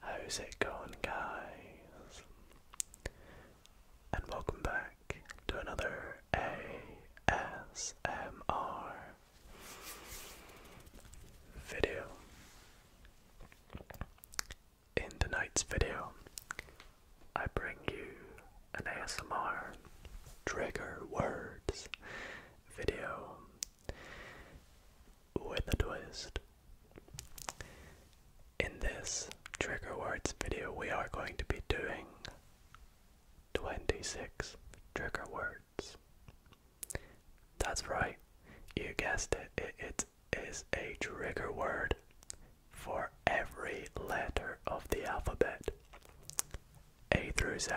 How's it going, guys? And welcome back to another ASMR video. In tonight's video, I bring you an ASMR trigger words video with a twist. In this trigger words video, we are going to be doing 26 trigger words. That's right, you guessed it, it, it is a trigger word for every letter of the alphabet. A through Z.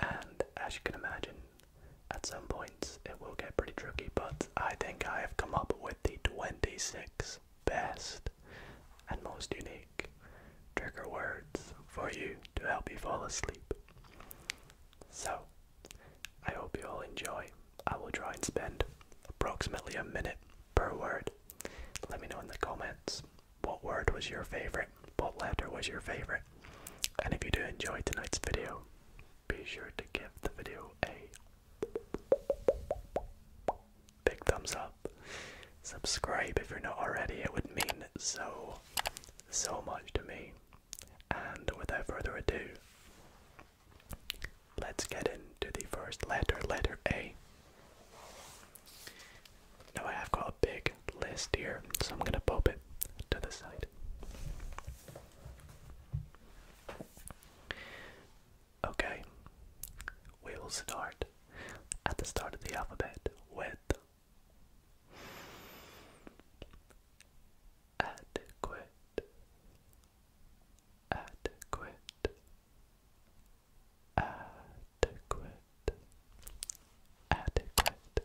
And as you can imagine, at some points it will get pretty tricky, but I think I have come up with the 26 best and most unique trigger words for you to help you fall asleep. So, I hope you all enjoy. I will try and spend approximately a minute per word. Let me know in the comments what word was your favorite, what letter was your favorite. And if you do enjoy tonight's video, be sure to give the video a big thumbs up. Subscribe if you're not already, it would mean so, so much to me. And without further ado, let's get into the first letter, letter A. Now I have got a big list here, so I'm gonna pop it to the side. Okay, we will start at the start of the alphabet with adequate, adequate, adequate, adequate,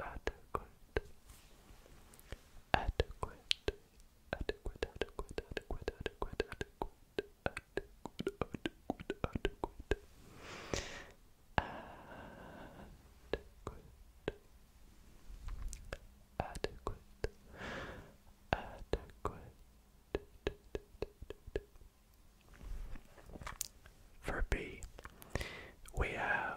adequate, adequate, adequate, adequate, adequate, adequate, adequate, adequate, adequate, adequate. Adequate, adequate. For B, we have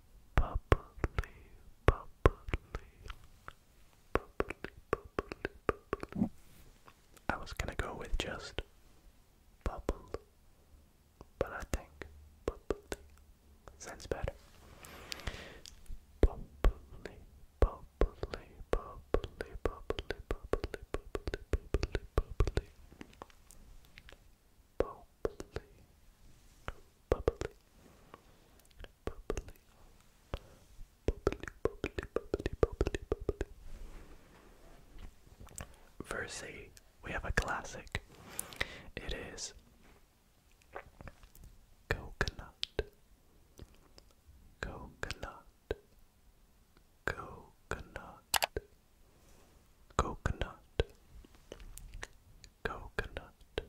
bubbly, bubbly, bubbly, bubbly. I was gonna go with just bubble, but I think bubbly sounds better. Bubbly, bubbly, bubbly, bubbly, bubbly, bubbly, bubbly, bubbly. Bubbly, bubbly, bubbly, bubbly, bubbly, bubbly, bubbly, bubbly. Verse 8, we have a classic. It is coconut, coconut, coconut, coconut, coconut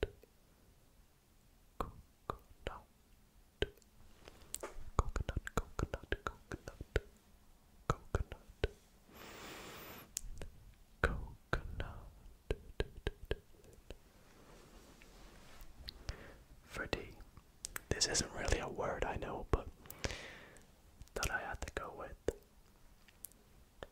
coconut, coconut, coconut, coconut, coconut, coconut. Fruity. This isn't really a word I know, but that I had to go with.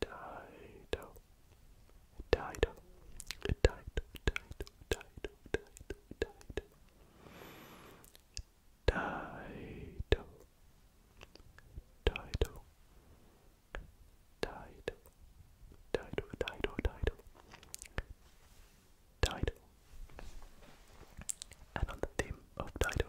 Dido, Dido, Dido, Dido, Dido, Dido, Dido, Dido, Dido, Dido, Dido, Dido, Dido, Dido. And on the theme of Dido,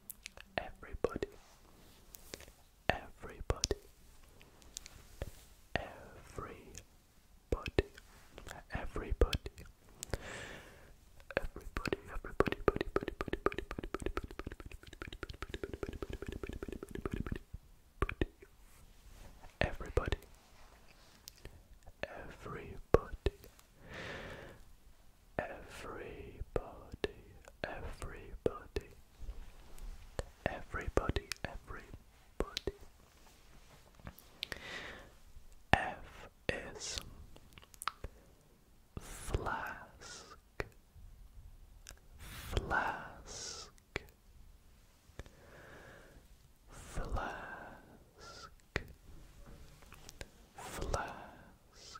Everybody, everybody, everybody, everybody, everybody, everybody, everybody, buddy, buddy, buddy, buddy, buddy, buddy, buddy, buddy, everybody, everybody, Everybody, everybody, everybody, everybody. F is flask, flask, flask, flask.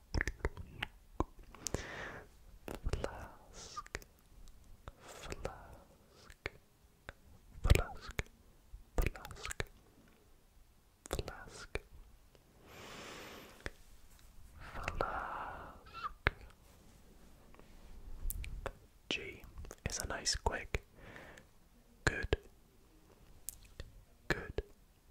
Flask, flask, flask, flask, flask, flask. G is a nice, quick, good, good,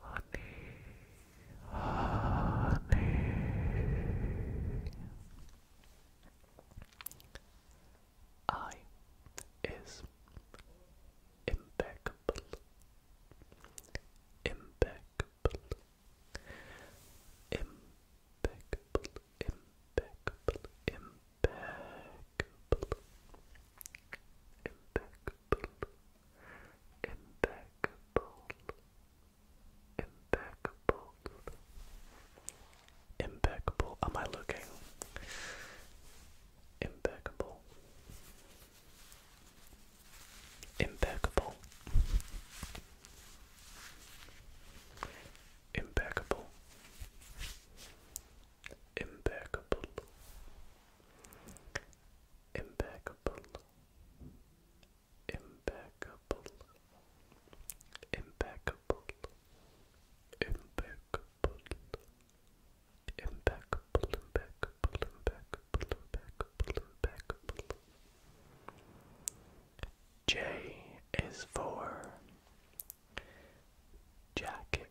honey, honey. I is impeccable, impeccable, impeccable, impeccable, impeccable, impeccable impeccable, impeccable, impeccable, Am I looking Impeccable. Impeccable. Impeccable. Impeccable impeccable, impeccable, impeccable, impeccable, impeccable, impeccable, impeccable, impeccable, J is for jacket,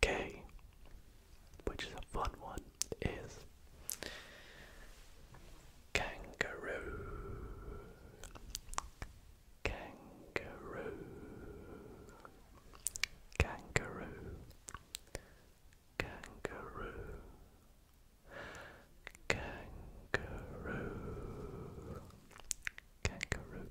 K, which is a fun one, is kangaroo. Kangaroo. Kangaroo. Kangaroo. Kangaroo. Kangaroo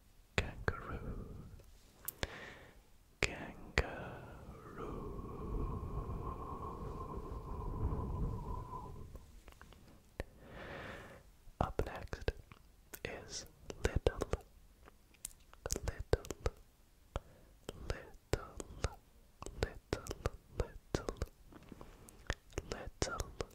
kangaroo kangaroo up next is little little little little little little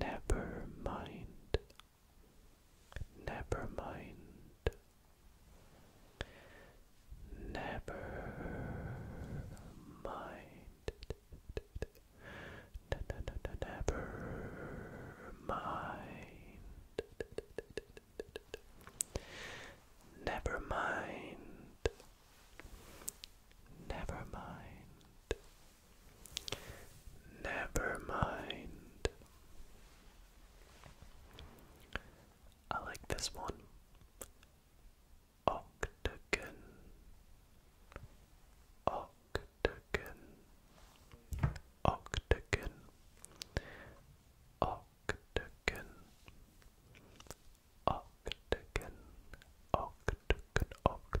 Never mind. Never mind. Never mind. Never mind. Never mind. Never mind. Never mind. I like this one. Octagon. Octagon. Octagon. Octagon. Octagon. Octagon. Octagon.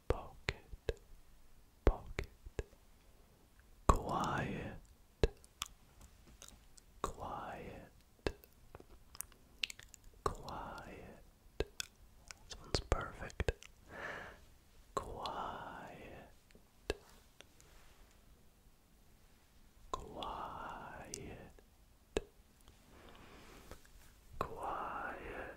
pocket, pocket, quiet, quiet, quiet. This perfect. Quiet, quiet. Quiet,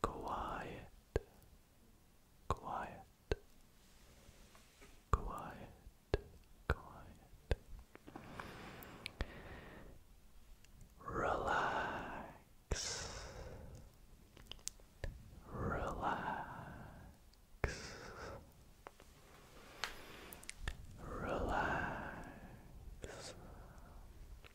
Quiet. Quiet. Quiet. Quiet. Relax. Relax. Relax.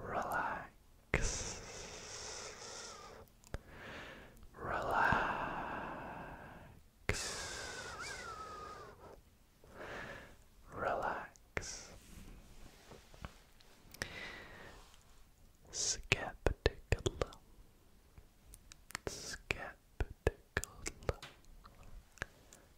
relax, relax, relax, Skeptical, skeptical,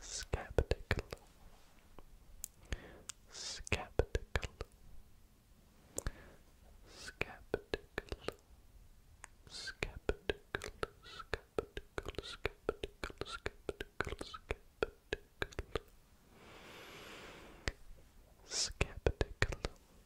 Skeptical. Skeptical. Skeptical. Skeptical. Skeptical. Skeptical. Skeptical. Skeptical. Skeptical. Skeptical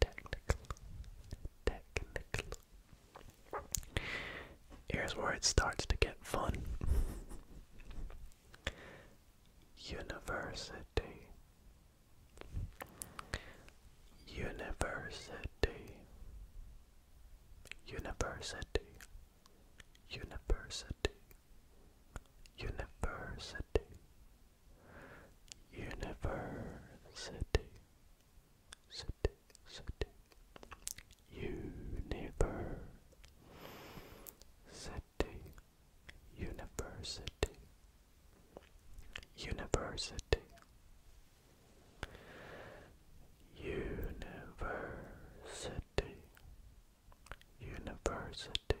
Technical. Technical. Here's where it starts to get fun. University. University. University. University. University. University. University. City, city. University. University. University. University. University.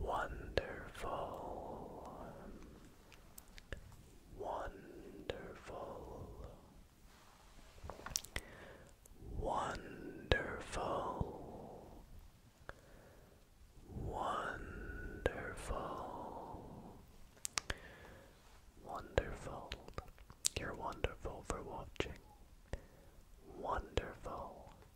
Wonderful, wonderful, wonderful, wonderful, wonderful. You're wonderful for watching. Wonderful.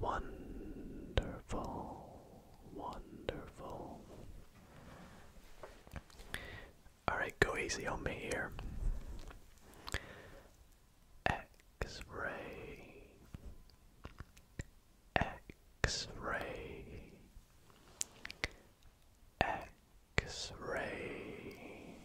Wonderful. Wonderful. Alright, go easy on me here. X ray. X ray. X ray.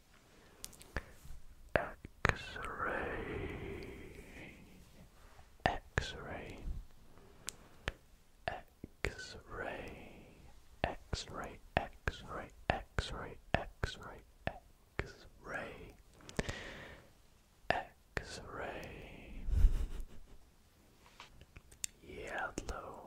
X-ray, X-ray, X-ray, X-ray, X-ray, X-ray, X-ray, X-ray, X-ray, yellow,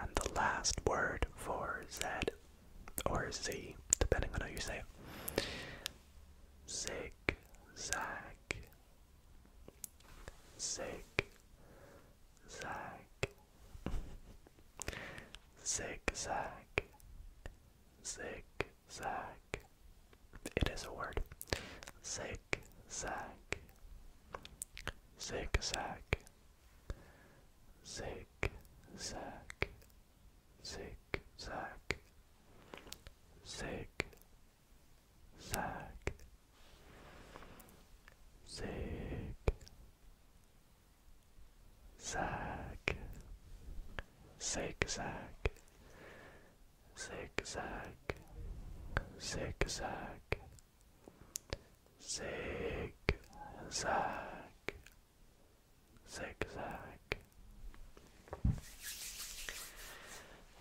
And the last word for Z or Z, depending on how you say it. Zig zag. Zig zag. Zig zag. Zig zag. It is a word. Zig zag. Zig zag. Zigzag, zigzag, zigzag, zag, zig zag, zig zig zag zigzag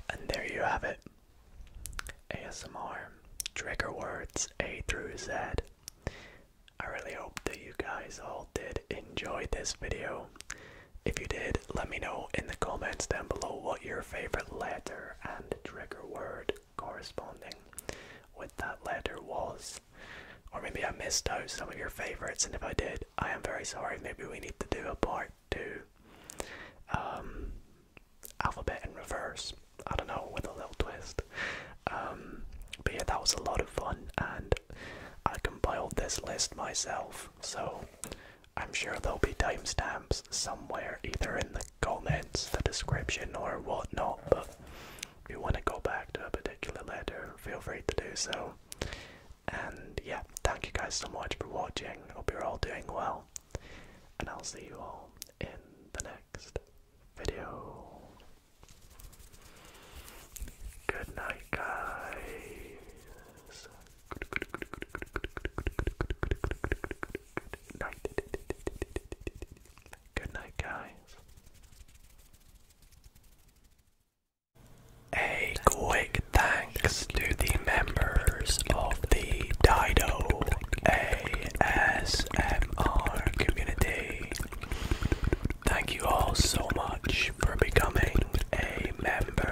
and there you have it asmr trigger words a through z i really hope that you guys all did enjoy this video if you did let me know in the comments down below what your favorite letter and trigger word corresponding with that letter was. Or maybe I missed out some of your favorites, and if I did, I am very sorry. Maybe we need to do a part two um, alphabet in reverse. I don't know, with a little twist. Um, but yeah, that was a lot of fun, and I compiled this list myself, so I'm sure there'll be timestamps somewhere, either in the comments, the description, or whatnot. But if you want to go back to a particular letter, feel free to do so. And yeah, thank you guys so much for watching. Hope you're all doing well. And I'll see you all in the next video. Good night, guys good night. Good night, guys. A quick thanks to the members of the Dido ASMR community. Thank you all so much for becoming a member.